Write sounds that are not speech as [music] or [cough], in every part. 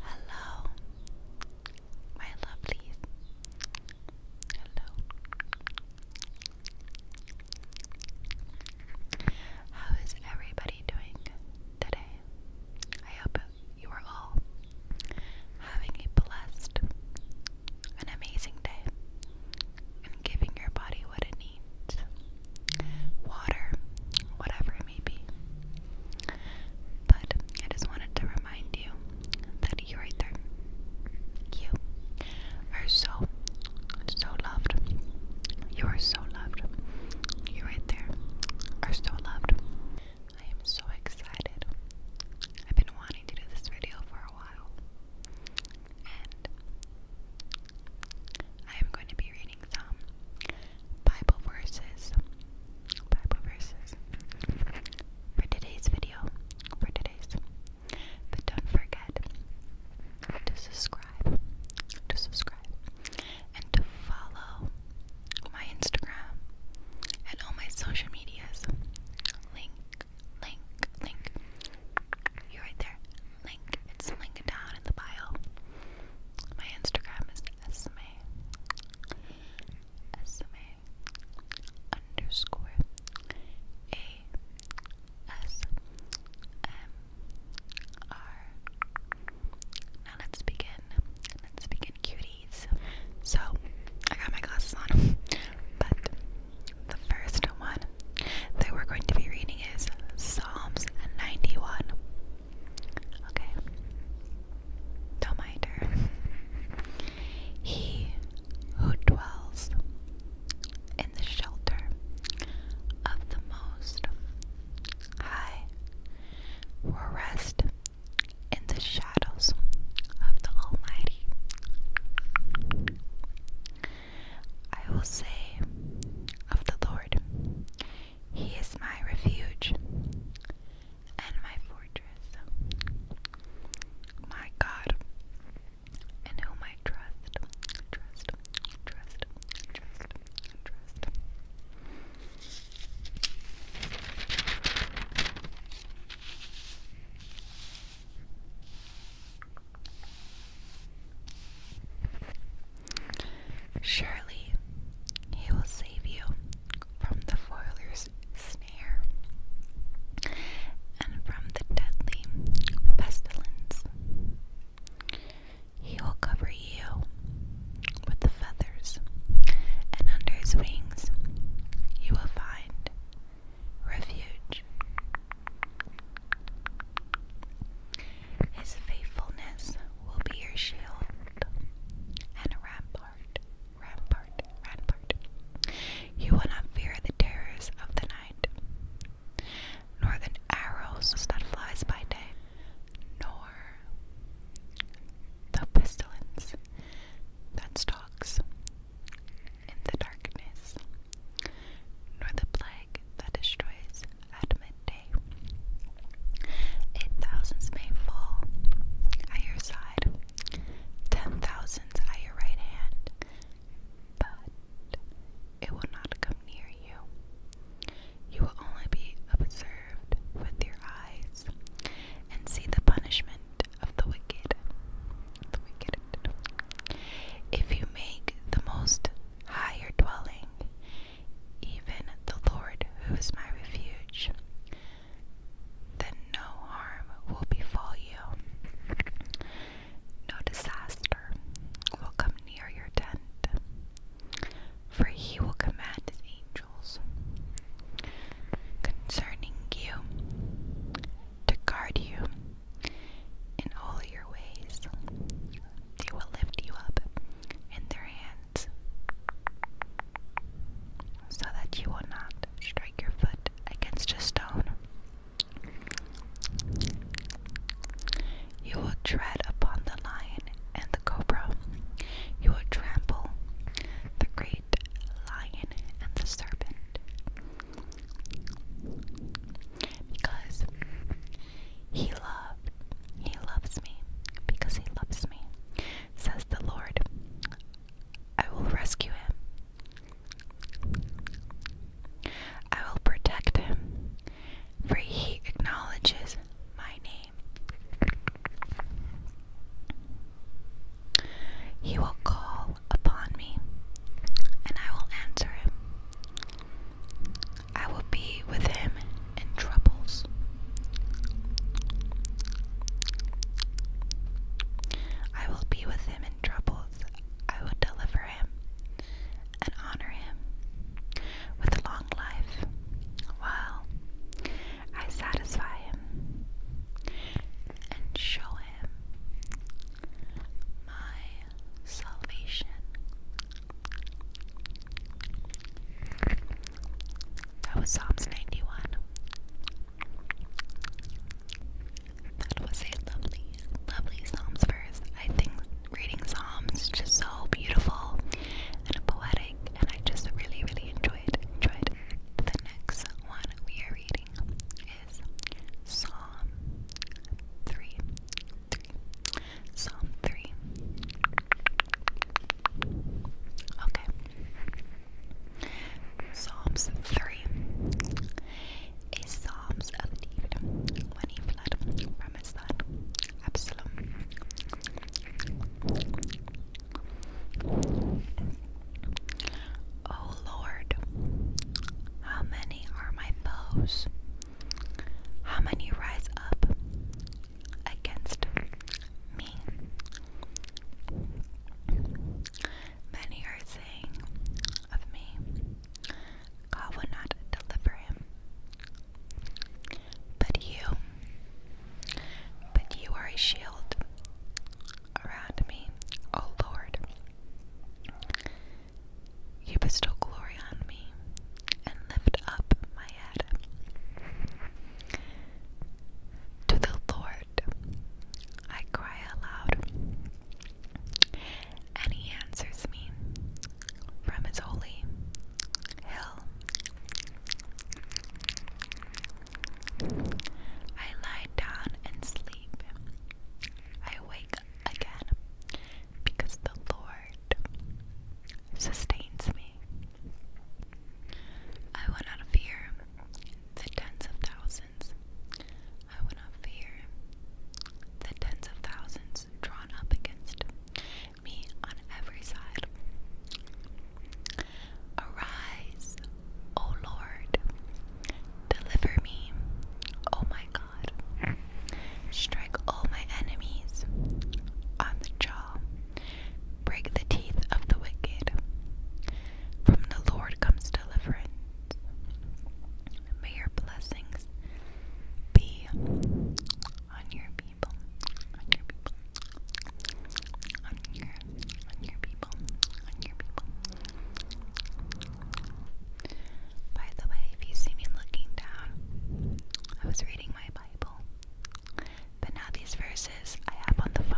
Hello, my lovelies. Hello. How is everybody doing today? I hope you are all having a blessed, an amazing day, and giving your body what it needs water, whatever maybe. But I just wanted to remind you that you right there, you are so, so loved. You are so loved. You right there are so loved. I am so excited. I've been wanting to do this video for a while. And I am going to be reading some Bible verses. Bible verses. For today's video. For today's. But don't forget to subscribe. To subscribe. And to follow my Instagram and all my social medias. Link, link, link. You're right there. Link. It's linked down in the bio. My Instagram is Esme, Esme underscore A S M R. Now let's begin. Let's begin, cuties. So I got my glasses on, but the first one that we're going to be reading is Psalms 91. Okay. Don't mind her. [laughs] He who dwells in the shelter of the Most High will rest in the shadows of the Almighty. I will say of the Lord, he is my refuge and my fortress, my God, in whom I trust, trust, trust, trust, trust. Surely he will save you from the foiler's snare and from the deadly pestilence. He will cover you with the feathers, and under his wings you will find refuge. His faithfulness will be your shield and a rampart, rampart, rampart. You will not fear the terrors of the night, nor the arrows that flies by day, nor the pestilence that stalks in the darkness, nor the plague that destroys at midday. Eight thousands may fall at your side, ten thousands at your right hand, but it will not come near you. You will only be observed with your eyes and see the punishment of the wicked. The wicked. If you make the most higher dwelling even the Lord who is my refuge, then no harm will befall you. No disaster will come near your tent, for he will command his angels concerning you to guard you in all your ways. They will lift you up in their hands so that you will not strike your foot against a stone. You will tread upon the lion and the cobra. You will trample the great lion and the serpent. Because he loved, he loves me, because he loves me, says the Lord. I will rescue him. I will protect him, for he acknowledges my name. He will call upon me, and I will answer him. I will be with him in troubles. I will be with him in troubles. I will deliver him and honor him with a long life while I satisfy him and show him my salvation. That was Psalms 91. That was a lovely, lovely Psalms verse. I think reading Psalms is so beautiful and poetic, and I just really, really enjoyed enjoyed. The next one we are reading is Psalm 3. Psalm 3. Okay. Psalms 3. A Psalms of David when he from his son Absalom. O Lord, how many are my foes? How many rise up against me? Many are saying of me, God will not deliver him. But you, but you are a shield around me, O Lord. You bestow glory on me and lift up my head. To the Lord I cry aloud, and he answers me from his holy hill. I lie down and sleep. I wake again because the Lord sustains me. I will not fear the tens of thousands. I will not fear the tens of thousands drawn up against me on every side. Arise, O Lord, deliver me, O my God. Strike all my enemies on the jaw. Break the teeth of the wicked. From the Lord comes deliverance. May your blessings be on your people. On your people. On your on your people. On your people. By the way, if you see me looking down, I was reading my Bible, but now these verses I have on the phone.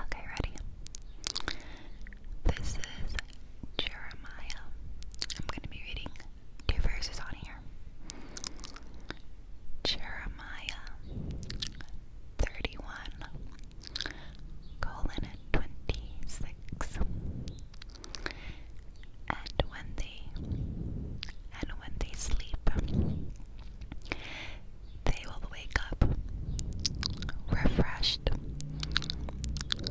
Okay, ready? This is Jeremiah. I'm going to be reading two verses on here. Jeremiah 31 colon 26. And when they and when they sleep they will wake up refreshed they will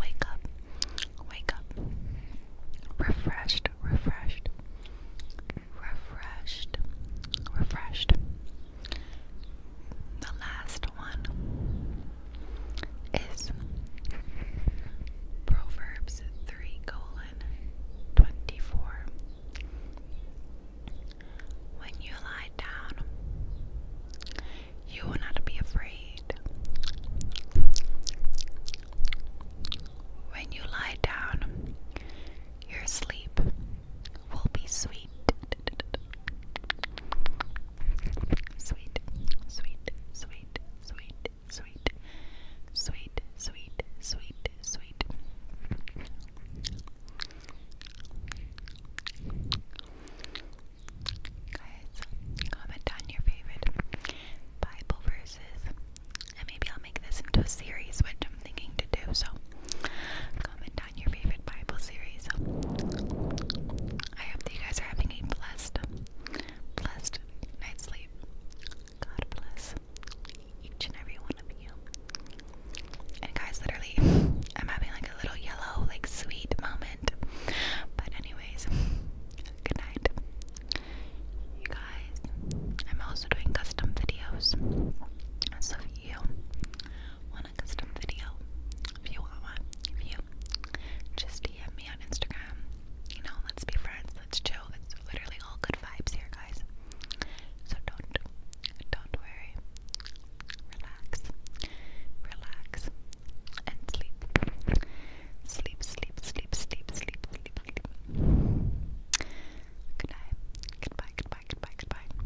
wake up, wake up, refreshed, refreshed, refreshed, refreshed. The last one is Proverbs 3 When you lie down, you will not be afraid. When you lie down, your sleep will be sweet. Sweet, sweet, sweet, sweet, sweet, sweet, sweet, sweet, sweet. Guys, comment on your favorite Bible verses. And maybe I'll make this into a series, which I'm thinking to do, so comment on your favorite Bible series. I hope that you guys are having a blessed Blessed night's sleep. God bless each and every one of you. And guys, literally, I'm having like a little yellow, like sweet moment. But anyways, good night. You guys, I'm also doing custom videos. So if you want a custom video, if you want one, if you just DM me on Instagram, you know, let's be friends, let's chill. It's literally all good vibes here, guys. So don't, don't worry. Relax, relax, and sleep. Sleep, sleep, sleep, sleep, sleep, sleep, sleep. Goodbye, goodbye, goodbye, goodbye.